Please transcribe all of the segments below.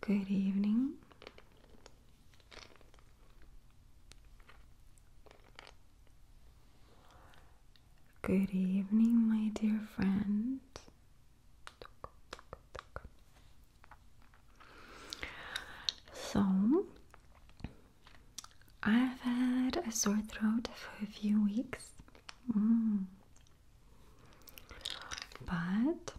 Good evening. Good evening, my dear friend. So, I've had a sore throat for a few weeks, mm. but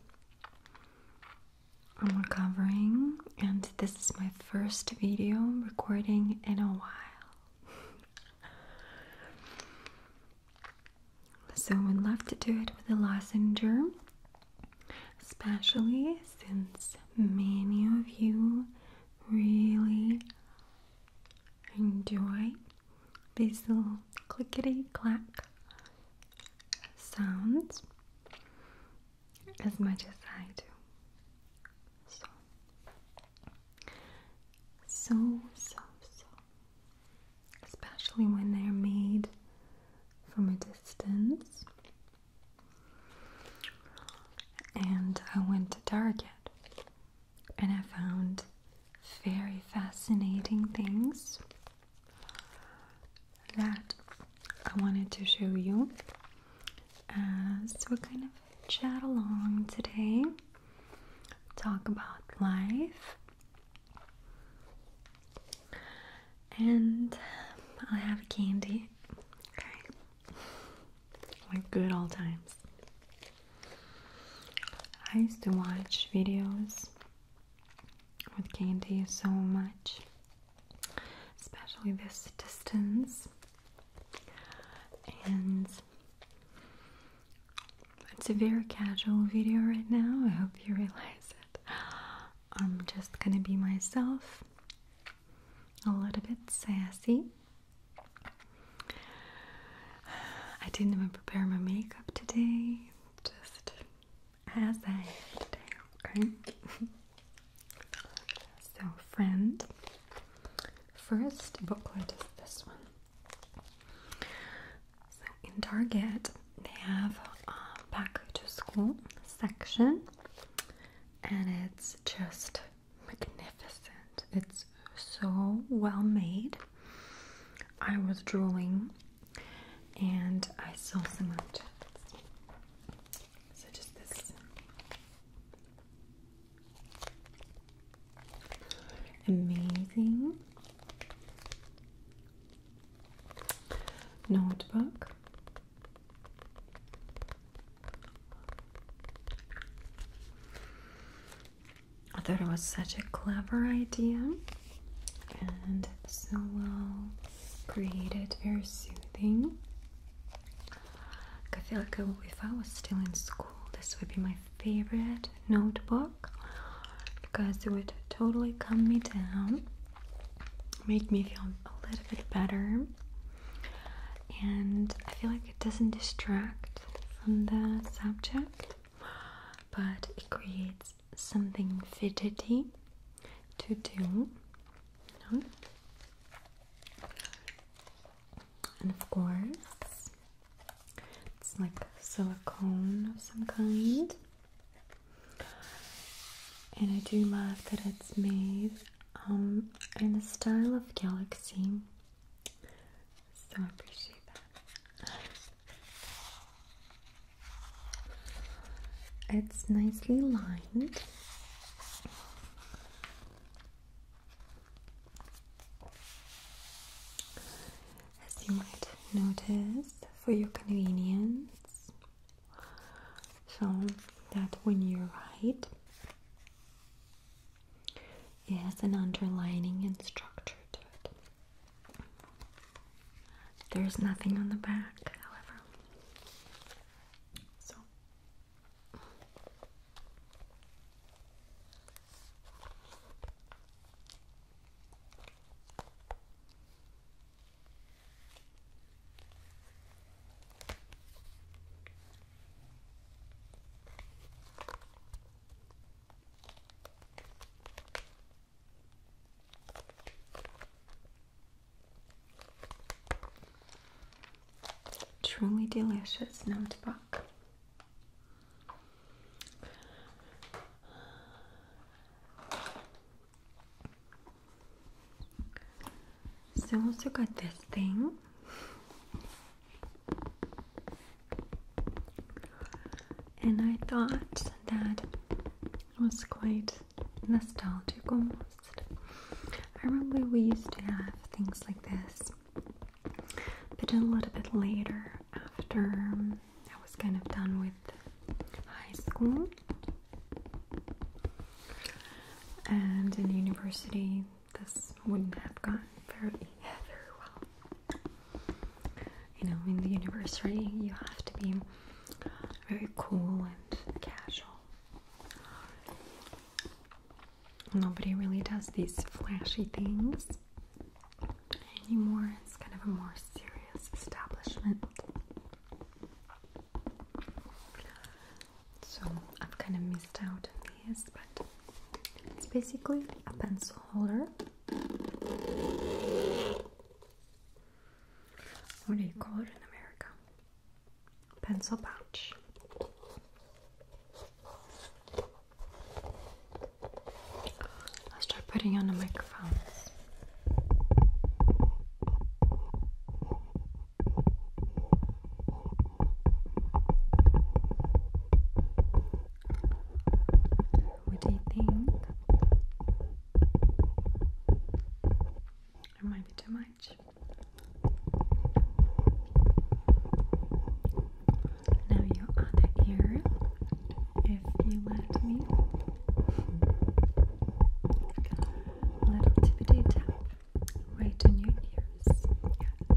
I'm recovering, and this is my first video recording in a while. so, we'd love to do it with a lozenger especially since many of you really enjoy these little clickety clack sounds as much as I do. So, so, so, especially when they're made from a distance and I went to Target and I found very fascinating things that I wanted to show you as uh, we're kind of chat along today talk about life and I'll have candy. Okay. Like good old times. I used to watch videos with candy so much, especially this distance. And it's a very casual video right now. I hope you realize it. I'm just gonna be myself, a little bit sassy. I didn't even prepare my makeup today, just as I am today, okay? so, friend, first booklet is this one. So, in Target, they have a back to school section and it's just magnificent. It's so well made. I was drooling and I saw some objects. So just this amazing notebook I thought it was such a clever idea and so well created, very soothing. I feel like if I was still in school, this would be my favorite notebook because it would totally calm me down Make me feel a little bit better and I feel like it doesn't distract from the subject but it creates something fidgety to do and of course it's like silicone of some kind and I do love that it's made um, in the style of Galaxy. So I appreciate that. It's nicely lined. As you might notice, for your convenience, so that when you write it has an underlining and structure to it there's nothing on the back however so Truly delicious notebook. So also got this thing. And I thought that was quite nostalgic almost. I remember we used to have things like this, but a little bit later after I was kind of done with high school. And in university, this wouldn't have gone very, very well. You know, in the university, you have to be very cool and casual. Nobody really does these flashy things anymore. It's kind of a more serious establishment. So I've kind of missed out on this, but it's basically a pencil holder. What do you call it in America? Pencil pouch. Let's try putting on the microphones. What do you think? It might be too much. Now, your other ear, if you let me little tippity tap right in your ears. Yeah.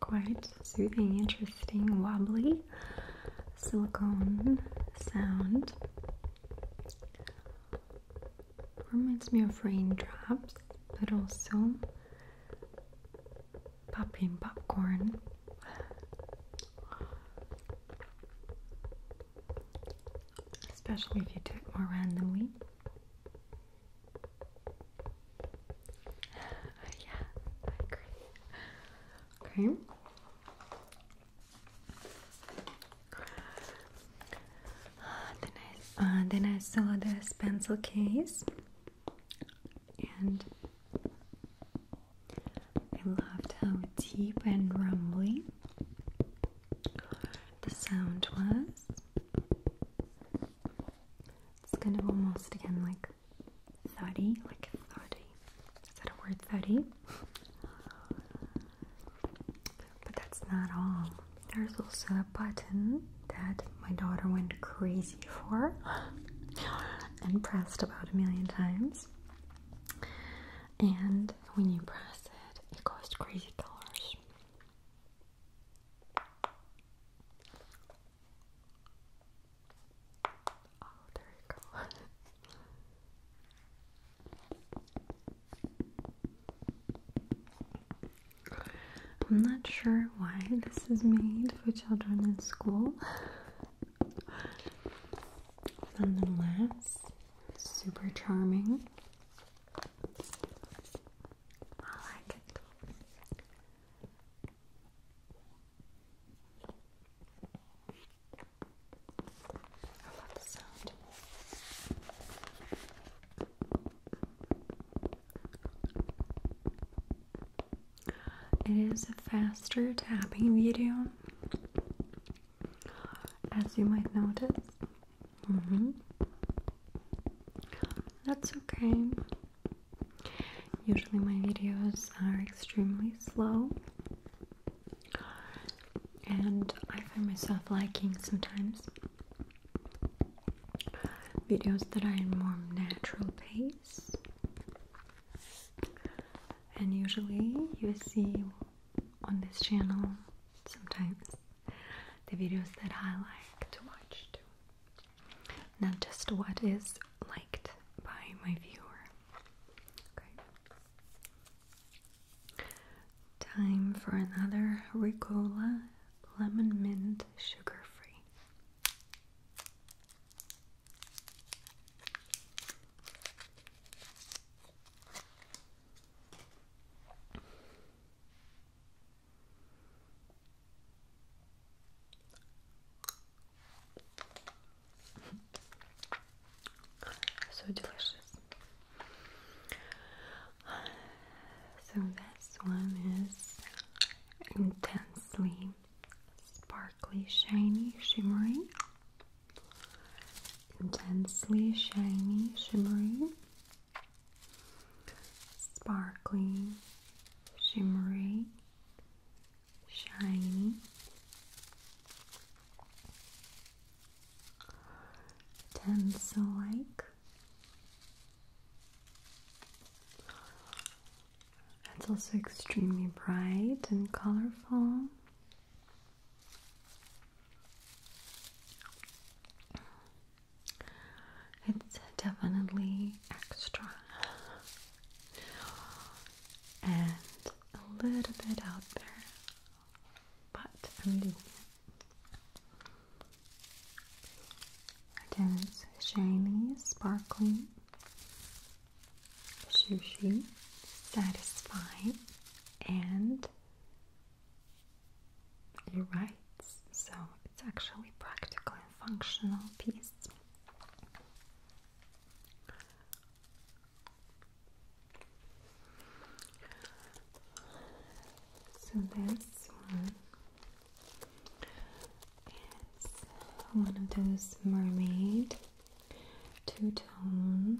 Quite soothing, interesting, wobbly silicone sound. Reminds me of raindrops, but also popping popcorn. Especially if you do it more randomly. yeah, I agree. Okay. Uh, uh, then, I, saw the pencil case and I loved how deep and rumbling the sound was. It's kind of almost again like thuddy, like thuddy. Is that a word, thuddy? But that's not all. There's also a button that my daughter went crazy for and pressed about a million times. And when you press it, it goes crazy colors. Oh, there you go. I'm not sure why this is made for children in school. Nonetheless, super charming. I like it. It is a faster tapping video, as you might notice. Mm-hmm. That's okay. Usually, my videos are extremely slow, and I find myself liking sometimes videos that are in more natural pace and usually you see on this channel sometimes the videos that I like to watch too not just what is liked by my viewer okay Time for another Ricola Lemon Mint Sugar Free. So delicious. So this one is intensely sparkly, shiny, shimmery. Intensely shiny, shimmery. Sparkly, shimmery, shiny. Pencil like. It's also extremely bright and colorful. It's definitely extra and a little bit out there, but I'm doing it. Again, it's shiny, sparkling, sushi, satisfying, and it writes. So it's actually practical and functional piece. So this one is one of those mermaid two-tone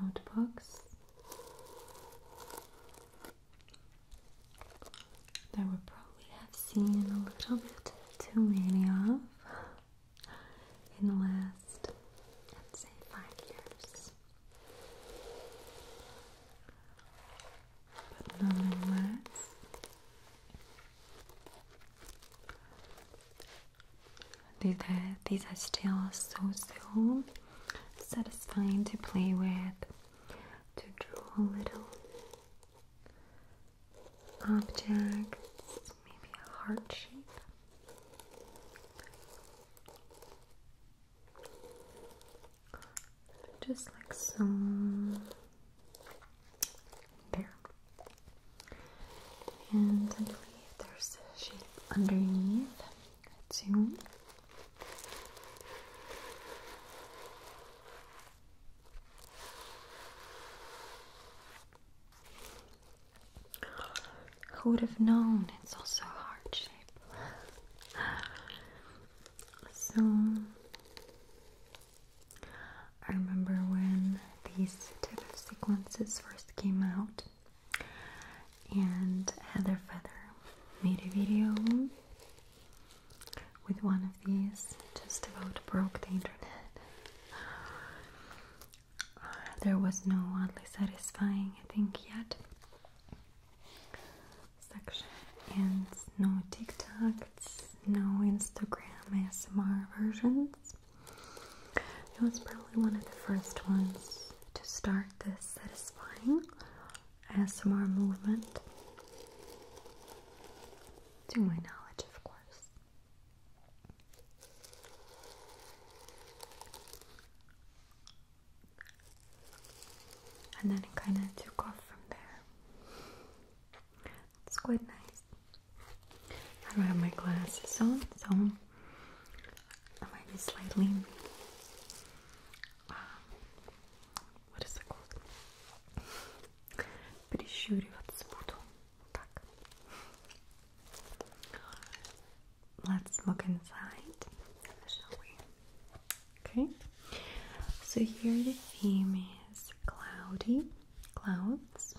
notebooks that we probably have seen a little bit too many of in the last, let's say, five years. But nonetheless, these are, these are still so so satisfying to play with, to draw little objects, maybe a heart shape. Just like so. There. And I believe there's a shape underneath too. Who would have known? It's also a heart shape. So I remember when these type of sequences first came out and Heather Feather made a video with one of these just about broke the internet. There was no oddly satisfying I think yet section and no TikToks, no Instagram ASMR versions. It was probably one of the first ones to start this satisfying ASMR movement. To my knowledge, of course and then it kind of took off from there. It's quite nice. I don't have my glasses on, so I might be slightly. Um, what is it called? Прищуриваться буду. Так let's look inside, shall we? Okay, so here the theme is cloudy clouds.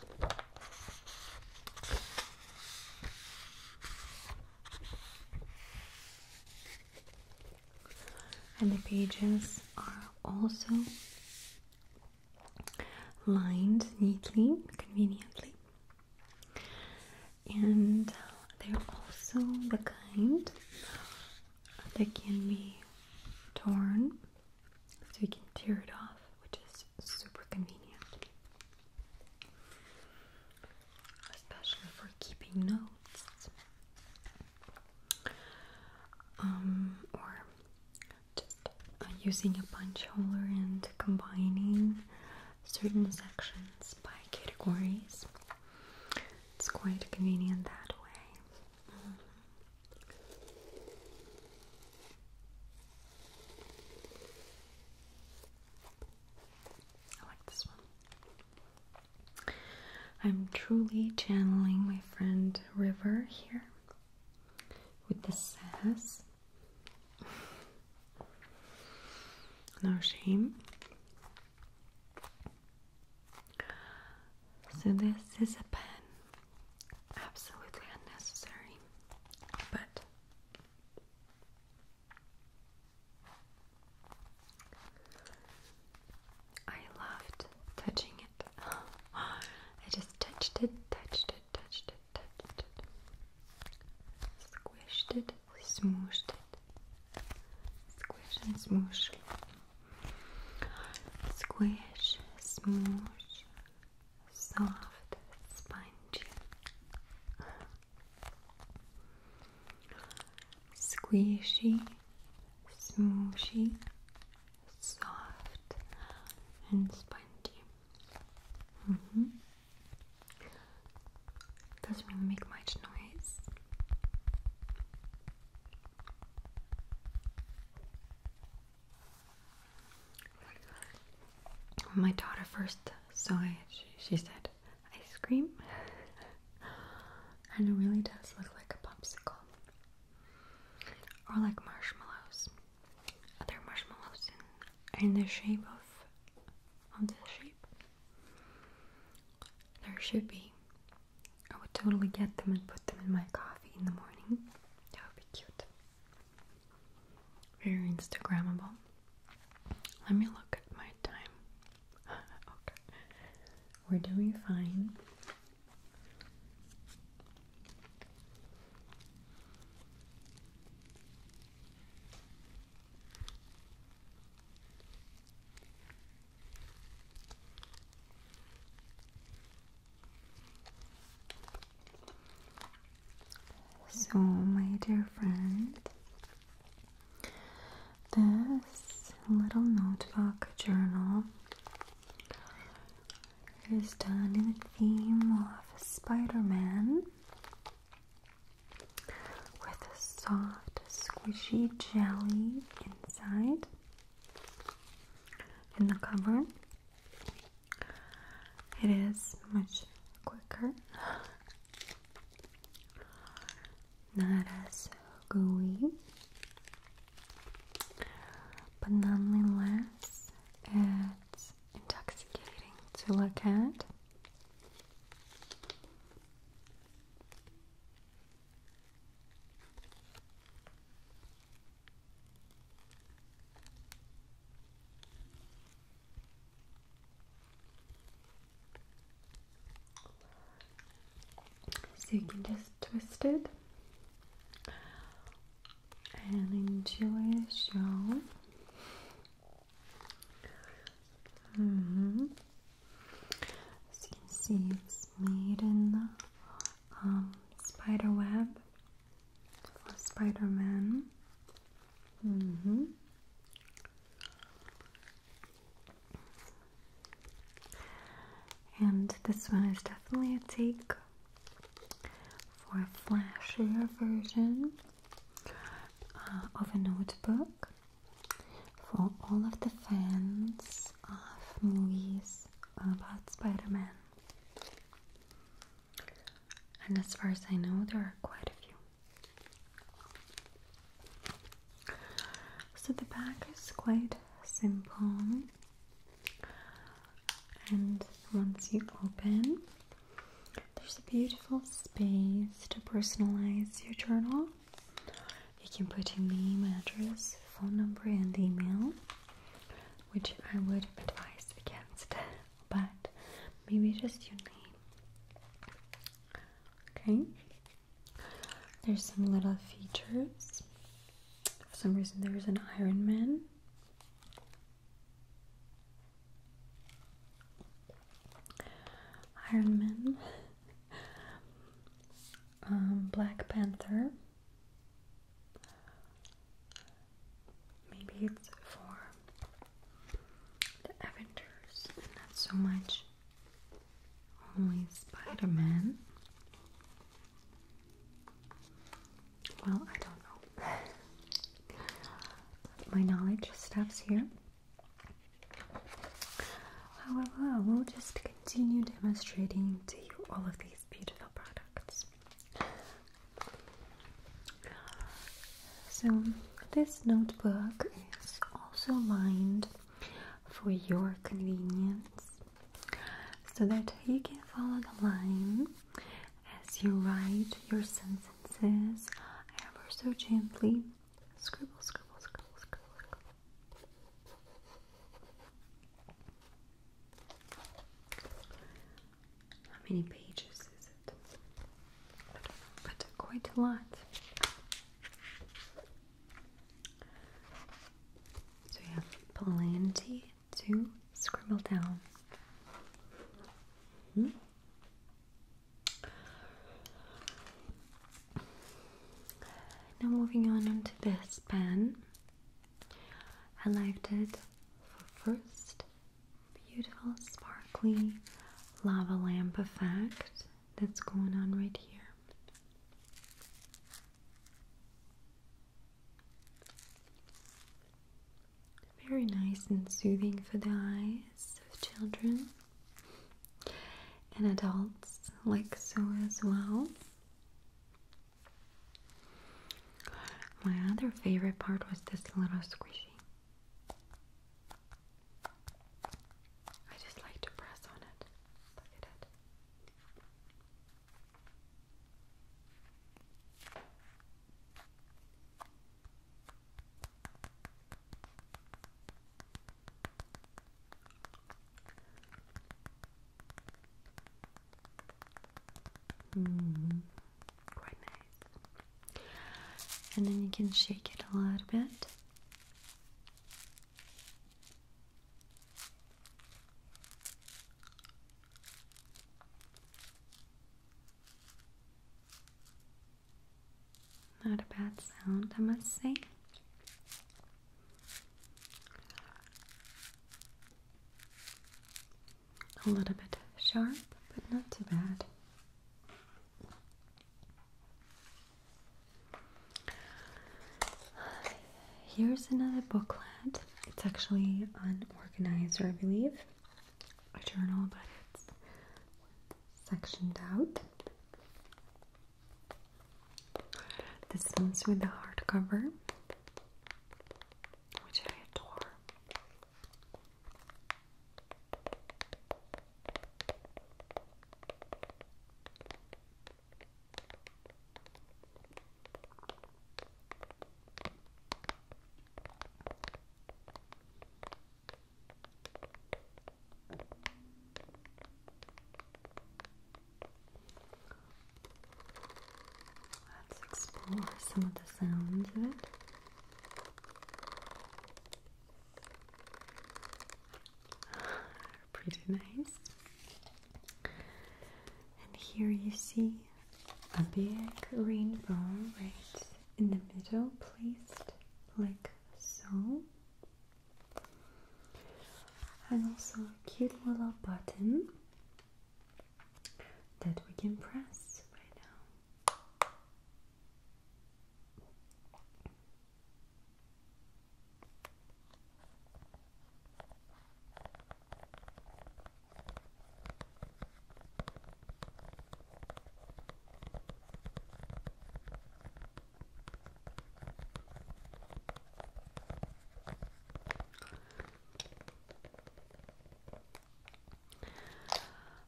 And the pages are also lined neatly, conveniently and they're also the kind that can be torn, so you can tear it off, which is super convenient, especially for keeping notes um, or just uh, using a punch holder and combining certain sections by categories. It's quite convenient that way. Mm-hmm. I like this one. I'm truly channeling my friend River here with the sass. No shame. So, this is a pen, absolutely unnecessary, but I loved touching it. I just touched it, touched it, touched it, touched it, squished it smooshed it. Squish and smoosh. Squish, smoosh, soft, spongy. Squishy, smooshy, soft, and spongy. -hmm. Doesn't make much noise. When my daughter first saw it, she, said, Ice cream? and it really does look like a popsicle. Or like marshmallows. Other marshmallows in, in the shape of on this shape. There should be. I would totally get them and put them in my coffee in the morning. That would be cute. Very Instagrammable. Let me look at my time. okay. We're doing fine. So, my dear friend, this little notebook journal is done in the theme of Spider Man with a soft, squishy jelly inside in the cover. It is much quicker, not as gooey, but nonetheless, it's intoxicating to look at. So you can just twist it and enjoy your. show. As you can see, it's made in the um, spider web for Spider Man. Mm-hmm. And this one is definitely a take for a flashier version uh, of a notebook for all of the fans of movies about Spider Man. And as far as I know, there are quite a few. So the back is quite simple, and once you open, there's a beautiful space to personalize your journal. You can put in the email address, phone number, and email, which I would advise against, but maybe just your name. Okay, there's some little features. For some reason, there is an Iron Man. Iron Man, um, Black Panther. Maybe it's for the Avengers, not so much only Spider Man. Well, I don't know. My knowledge stops here. However, we will just continue demonstrating to you all of these beautiful products. So, this notebook is also lined for your convenience so that you can follow the line as you write your sentences ever so gently Scribble, scribble, scribble, scribble, How many pages is it? but quite a lot. So you have plenty to scribble down. -hmm. Now moving on onto this pen. I liked it for first beautiful sparkly lava lamp effect that's going on right here. Very nice and soothing for the eyes of children and adults like so as well. My other favorite part was this little squishy. I just like to press on it. Look at it. Mm, quite nice. And then you can shake it a little bit. Not a bad sound, I must say. A little bit sharp, but not too bad. Here's another booklet. It's actually an organizer, I believe. A journal, but it's sectioned out. This one's with the hardcover, which I adore. Let's explore some of the sounds of it. Pretty nice. And here you see a big rainbow right in the middle, placed like so and also a cute little button that we can press right now.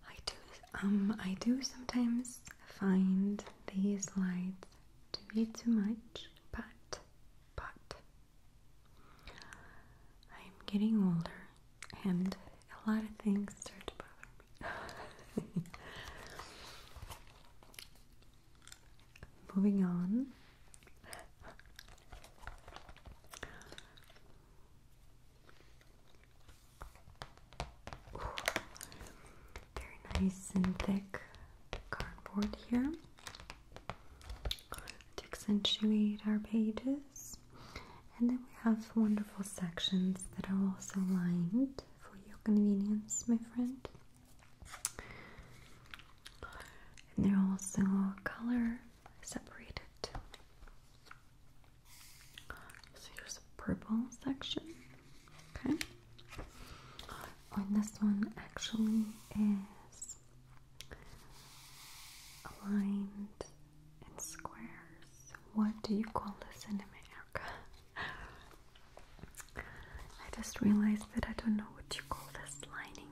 I do um I do sometimes find these lights to be too much but but I'm getting older and a lot of things start to bother me. Moving on. very nice and thick cardboard here. To accentuate our pages. And then we have wonderful sections that are also lined for your convenience, my friend. And they're also color separated. So here's a purple section. Okay. and this one actually is aligned in squares. What do you call this in a minute? I just realized that I don't know what you call this lining.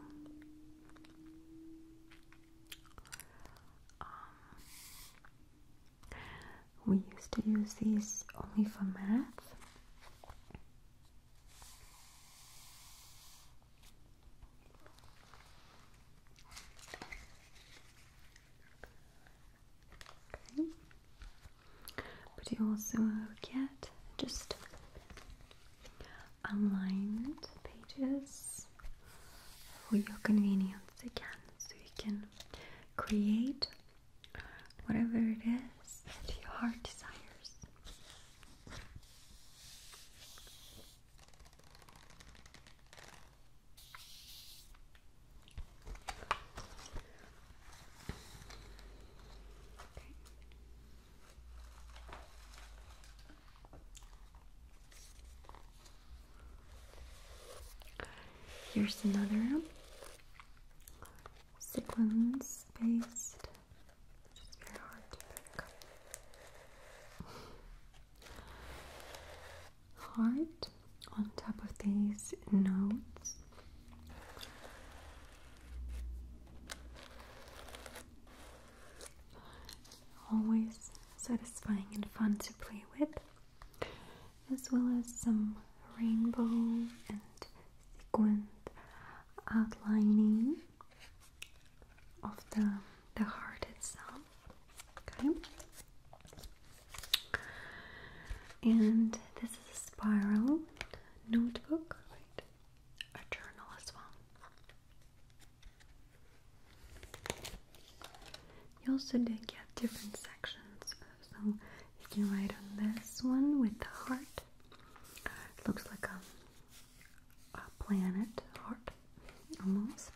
Um, we used to use these only for math. But you also get just aligned pages for your convenience again, so you can create whatever it is that your heart desires. Here's another sequence based, which is very hard to pick. Heart on top of these notes Always satisfying and fun to play with, as well as some rainbow and sequin outlining of the, the heart itself. Okay. And this a spiral notebook, A journal as well. You also did get different sections, so you can write on this one with the heart. looks like a, a planet heart, almost.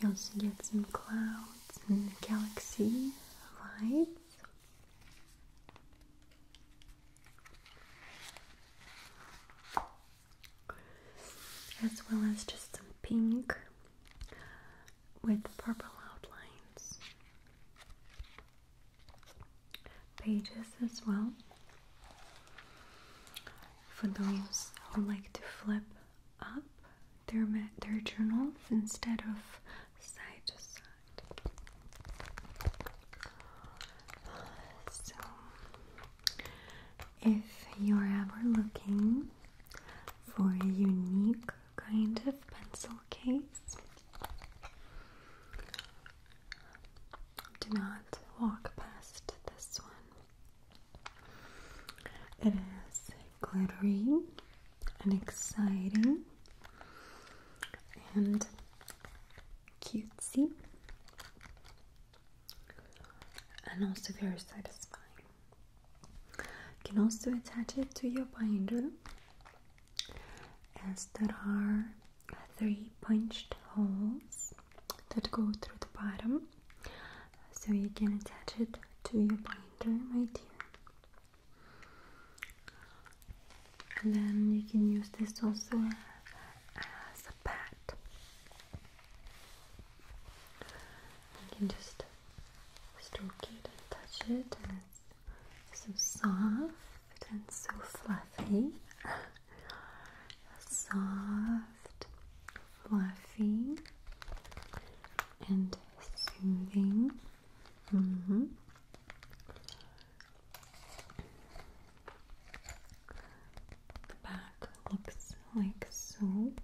You also get some clouds and galaxy lights. As well as just some pink with purple outlines. Pages as well. For those who like to flip up their, their journals instead of side to side. So, if you're ever looking for a unique kind of pencil case, do not walk past this one. It is glittery and exciting and cutesy and also very satisfying. You can also attach it to your binder as there are three punched holes that go through the bottom so you can attach it to your printer right here. And then you can use this also as a pad. You can just stroke it and touch it, and it's so soft and so fluffy. soft, fluffy and soothing. Mm-hmm. The back looks like soap.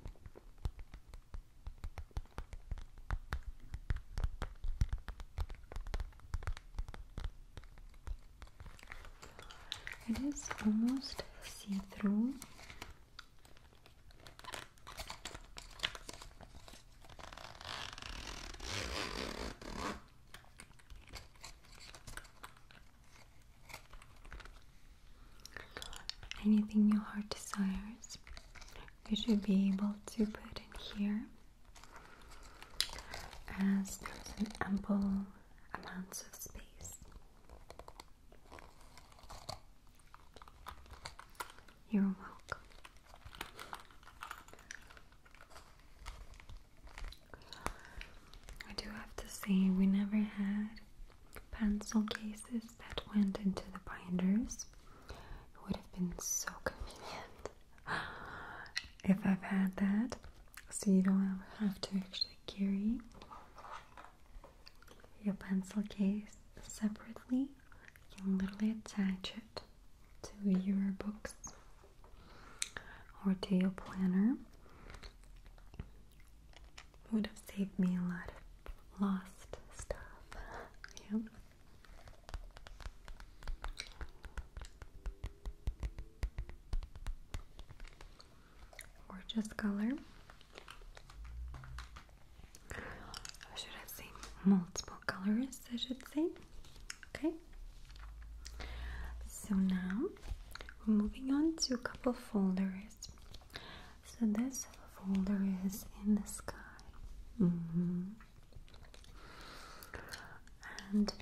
It is almost see through. Anything your heart desires, you should be able to put in here as there's an ample amount of space. You're welcome. I do have to say, we never had pencil cases that went into the binders. It would have been so convenient if I've had that, so you don't have to actually carry your pencil case separately. You can literally attach it to your books or to your planner. Would have saved me a lot of lost stuff. Gorgeous color. Or should I say multiple colors? I should say. Okay. So now we're moving on to a couple folders. So this folder is in the sky. Mm-hmm. And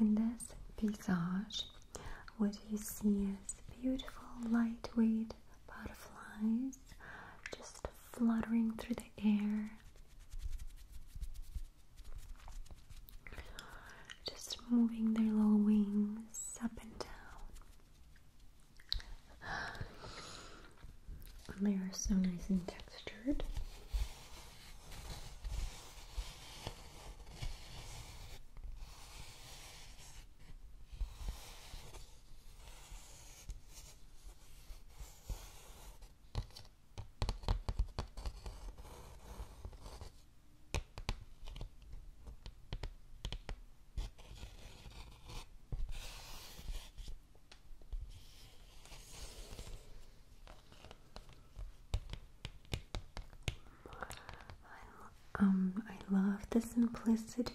in this visage, what do you see is beautiful, lightweight butterflies just fluttering through the air. Just moving their little wings up and down. And they are so nice and textured i um, I love the simplicity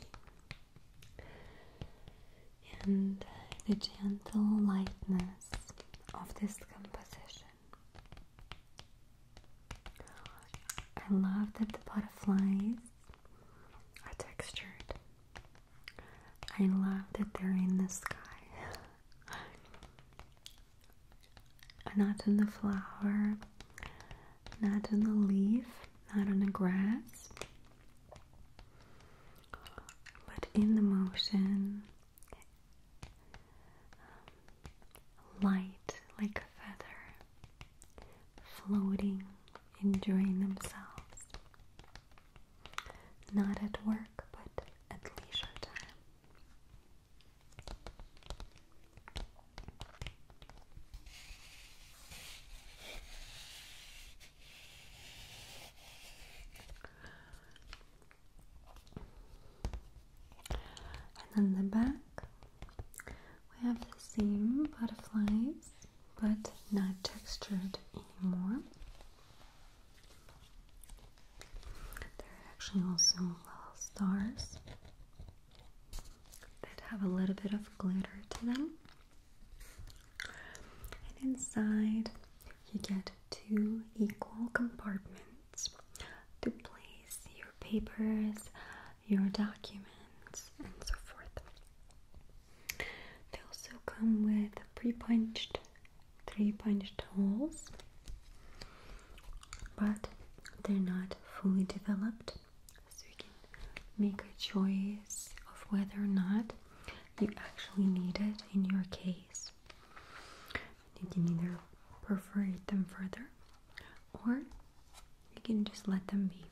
and uh, the gentle lightness of this composition. I love that the butterflies are textured. I love that they're in the sky. and Not in the flower, not on the leaf, not on the grass, but in the motion, um, light like a feather, floating, enjoying themselves, not at work but at leisure time. And on the back, we have the same butterflies, but not textured anymore. There are actually also little stars that have a little bit of glitter to them. And inside, you get two equal compartments to place your papers, your documents, and so forth. They also come with pre punched, three punched holes, but they're not fully developed so you can make a choice of whether or not you actually need it in your case. You can either perforate them further or you can just let them be.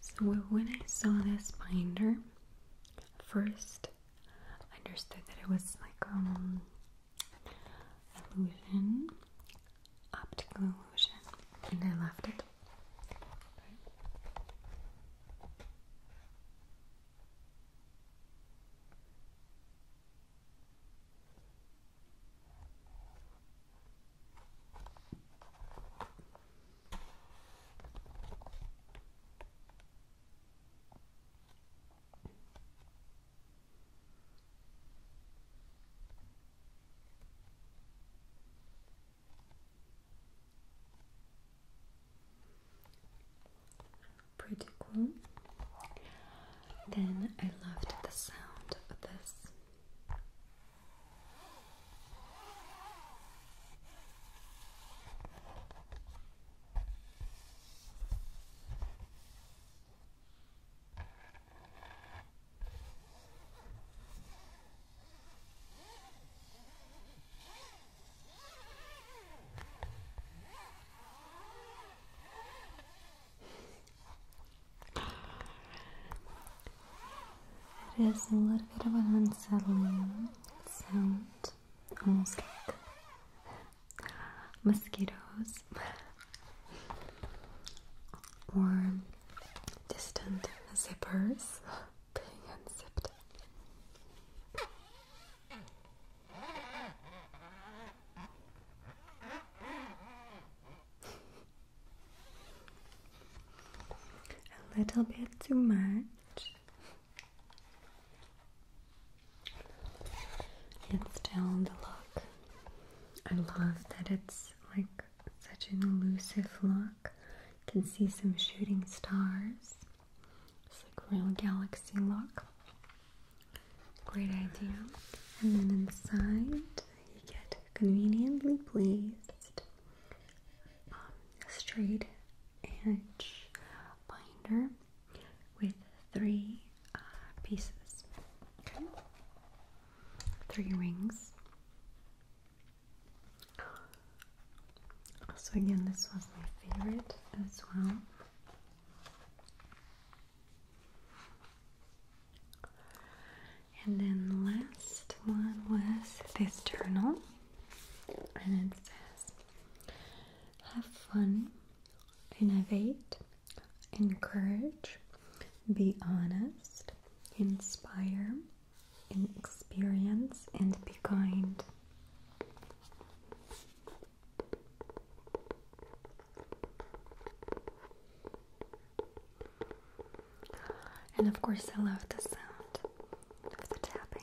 So, when I saw this binder, first I understood that it was like um, illusion, optical illusion, and I left it. Pretty cool. Then I loved the sound of this. It is a little bit of an unsettling sound, almost like mosquitoes. or distant zippers being unzipped. A little bit too much. It's still the look. I love that it's like such an elusive look. You can see some shooting stars. It's like real galaxy look. Great idea. And then inside you get conveniently placed um, straight edge binder with three uh, pieces three rings. So again, this was my favorite as well. And then last one was this journal, and it says, "Have fun, innovate, encourage, be honest, inspire, experience, and be kind. And of course, I love the sound of the tapping.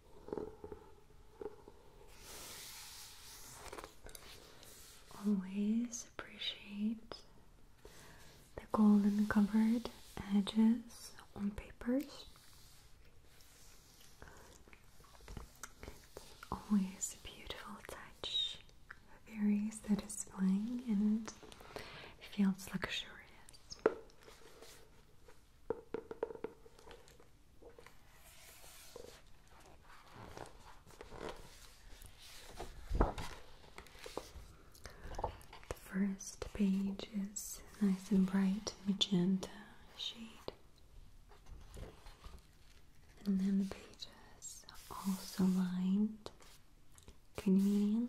Always appreciate the golden covered edges on papers. always a beautiful touch, very satisfying and feels luxurious. The first page is nice and bright magenta shade, and then the pages are also lined conveniently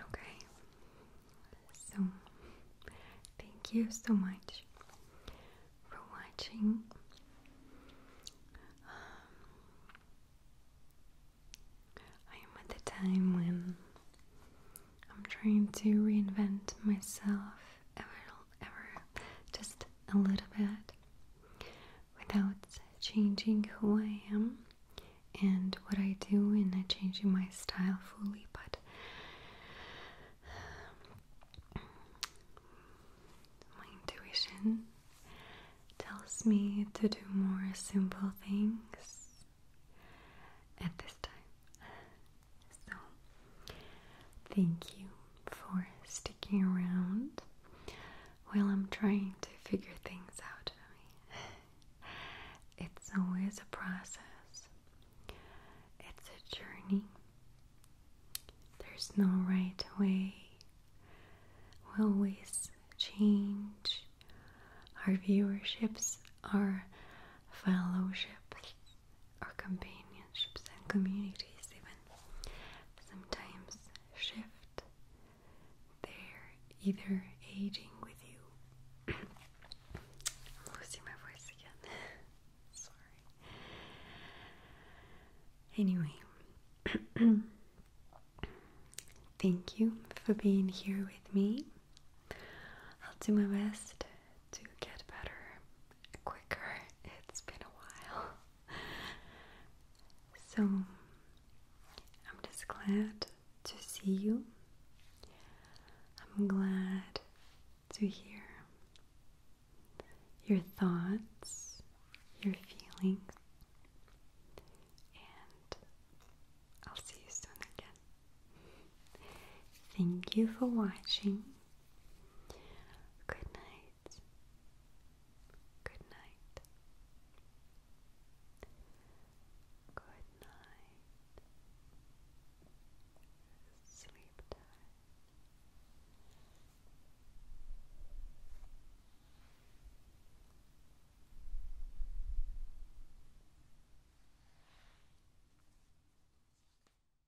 Okay, so thank you so much for watching. Um, I am at the time when I'm trying to reinvent myself a little ever just a little bit without changing who I am and what I do and not changing my style fully but my intuition tells me to do more simple things at this time so, thank you for sticking around while I'm trying to figure things out. I mean, it's always a process, it's a journey. There's no right way. We will always change. Our viewerships, our fellowships, our companionships and communities even sometimes shift. They're either aging with you. losing my voice again. Sorry. Anyway, thank you for being here with me. I'll do my best to get better quicker. It's been a while. So I'm just glad to see you. I'm glad to hear your thoughts, your feelings, and I'll see you soon again. Thank you for watching. Good night. Good night. Good night. Sleep tight.